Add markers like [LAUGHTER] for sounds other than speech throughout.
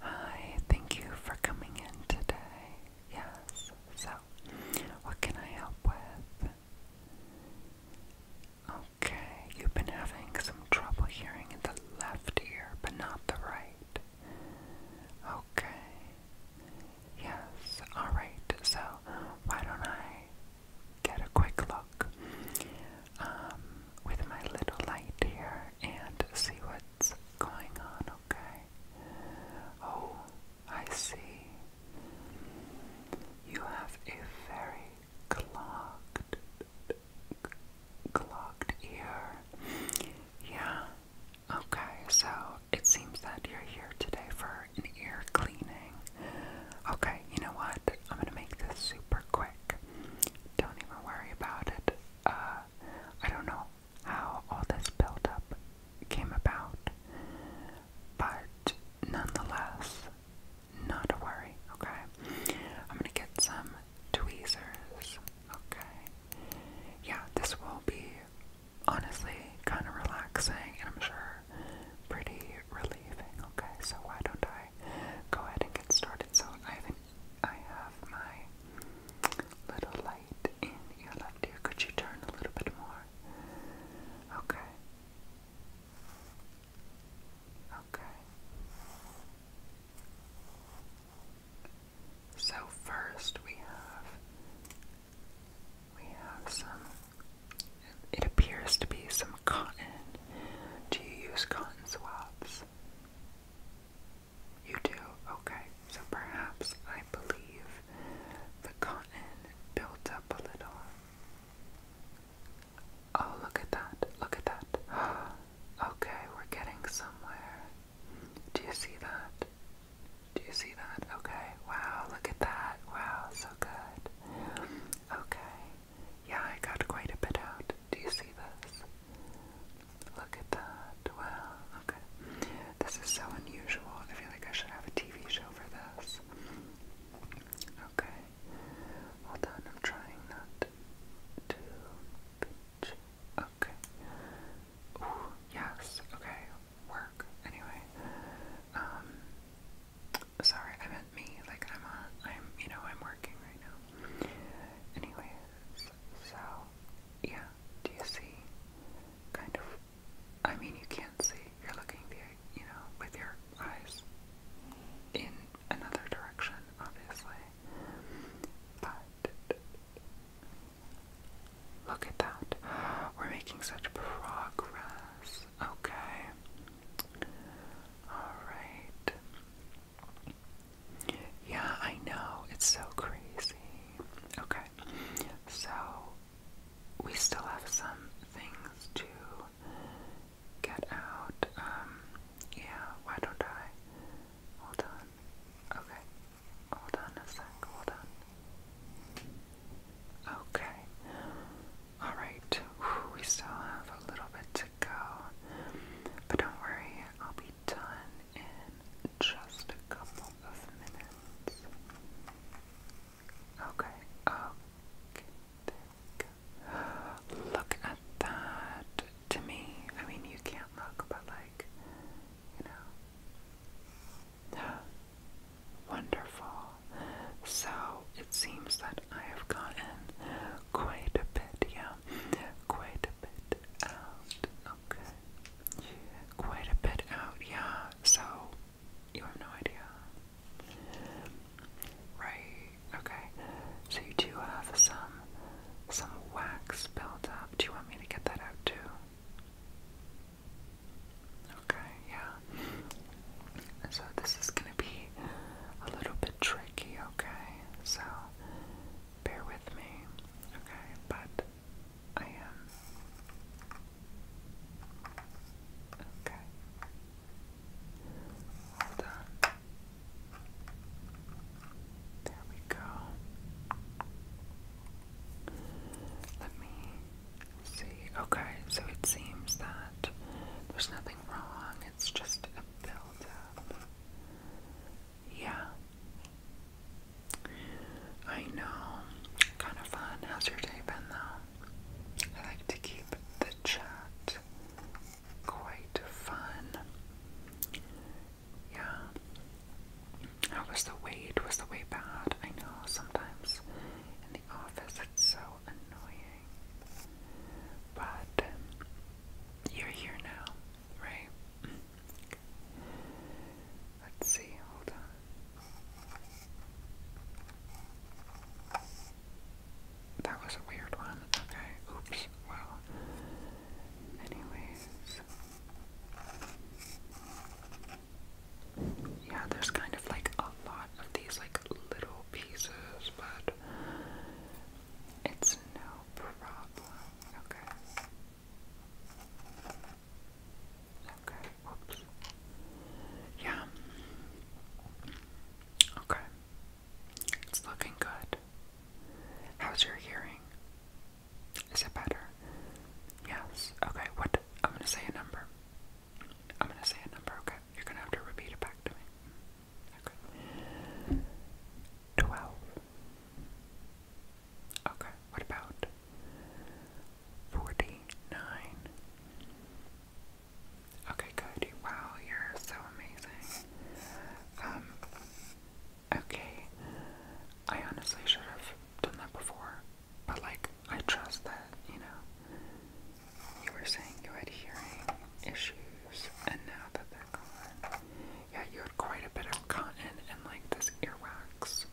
Hi, thank you for coming in today. Yes, so what can I help with? Okay, you've been having some trouble hearing in the left ear, but not the right. Okay, yes, alright, so why don't I get a quick look um, with my little light here and see what's going on, okay? Oh, I see. You have a very clogged, clogged ear. Yeah. Okay, so it seems that you're here today for an ear cleaning. Okay, you know what? I'm gonna make this super quick. Don't even worry about it. Uh, I don't know how all this buildup came about, but nonetheless, not to worry, okay? I'm gonna get some tweezers, okay? Yeah, this will be honestly kind of relaxing and I'm sure pretty relieving, okay? So why don't I go ahead and get started. So I have, my little light in your left ear. Could you turn a little bit more? Okay. Okay. So first we have we have some it appears to be some cotton. Do you use cotton swabs? You do? Okay. So perhaps I believe the cotton built up a little. Oh, look at that. Look at that. [GASPS] Okay, we're getting somewhere. Do you see that? Do you see that? Okay. Wow, look at that. Wow, so good. Okay. Yeah, I got quite a bit out. Do you see this? Look at that. Well, okay. This is so unusual. I feel like I should have a TV show for this. Okay. Hold on, I'm trying not to pinch. Okay. Ooh, yes. Okay. Work. Anyway. Um Sorry, I meant me. Like I'm uh, I'm. You know, I'm working right now. Anyways, so yeah. Do you see? Kind of. I mean, you can't see. You're looking the. You know, with your eyes in another direction, obviously. But look at that. We're making such progress. Okay. Alright. Yeah, I know. It's so crazy. Okay. So, we still have some things to get out. Um, yeah, why don't I? Hold on. Okay. Hold on a sec. Hold on. Okay. Alright, we still have a little bit to go. But don't worry, I'll be done in just a couple of minutes. Okay, okay, Look at that. To me, I mean, you can't look, but like, you know. [GASPS] Wonderful. So it seems that I have gotten quite a bit, yeah, quite a bit out, okay, quite a bit out, yeah, so you have no idea, right, okay, so you do have some, some wax built up, do you want me to get that out too? Okay, yeah. So this is going to be a little bit tricky, okay? So bear with me, okay? But I am. Okay. Hold on. There we go. Let me see. Okay, so it seems that there's nothing wrong. It's just a buildup. Yeah. I know. Kind of fun. How's your day been, though? I like to keep the chat quite fun. Yeah. was the wait? Was the wait bad? I know sometimes in the office it's so annoying. But um, you're here now, right? [CLEARS THROAT] Let's see, hold on. That was a weird one. Okay, oops, well. Anyways. Yeah, there's kind of like a lot of these like little pieces, but it's no problem. Okay. Okay. Whoops. Yeah. Okay. It's looking good. How's your hearing? Is it better? Yes. Okay, what I'm gonna say a number. I'm gonna say a number, okay? You're gonna have to repeat it back to me. Okay. Twelve. Okay, what about forty-nine? Okay, good. Wow, you're so amazing. Um Okay. I honestly should have done that before. But like I trust that, you know, you were saying you had hearing issues, and now that they're gone, yeah, you had quite a bit of cotton and like this earwax,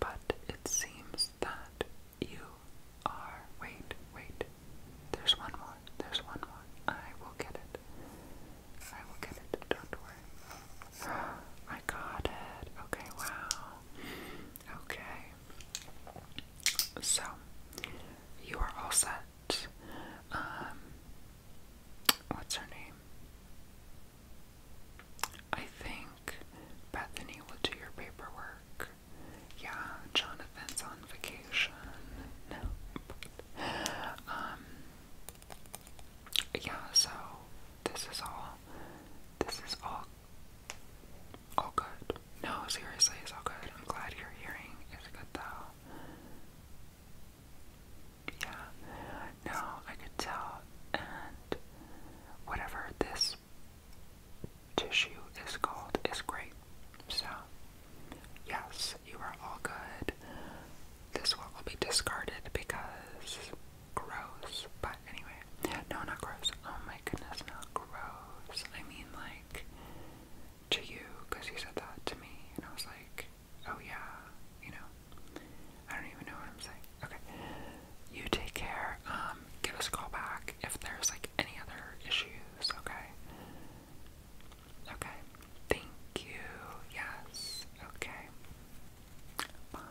but it seems that you are. Wait, wait, there's one more, there's one more. I will get it. I will get it, don't worry. [GASPS] I got it. Okay, wow. Okay, so, you are all set. Um, what's her name? I think Bethany will do your paperwork. Yeah, Jonathan's on vacation. No. um, yeah, so this is all. This is all all good. No, seriously, it's all good. I'm glad your hearing is good though. Yeah. No, I could tell. And whatever this tissue is called is great. So, yes, you are all good. This one will be discarded because gross, but Anyway, no, not gross. Oh my goodness, not gross. I mean, like, to you, because you said that to me, and I was like, oh yeah, you know. I don't even know what I'm saying. Okay. You take care. Um, give us a call back if there's like any other issues, okay? Okay. Thank you. Yes. Okay. Bye.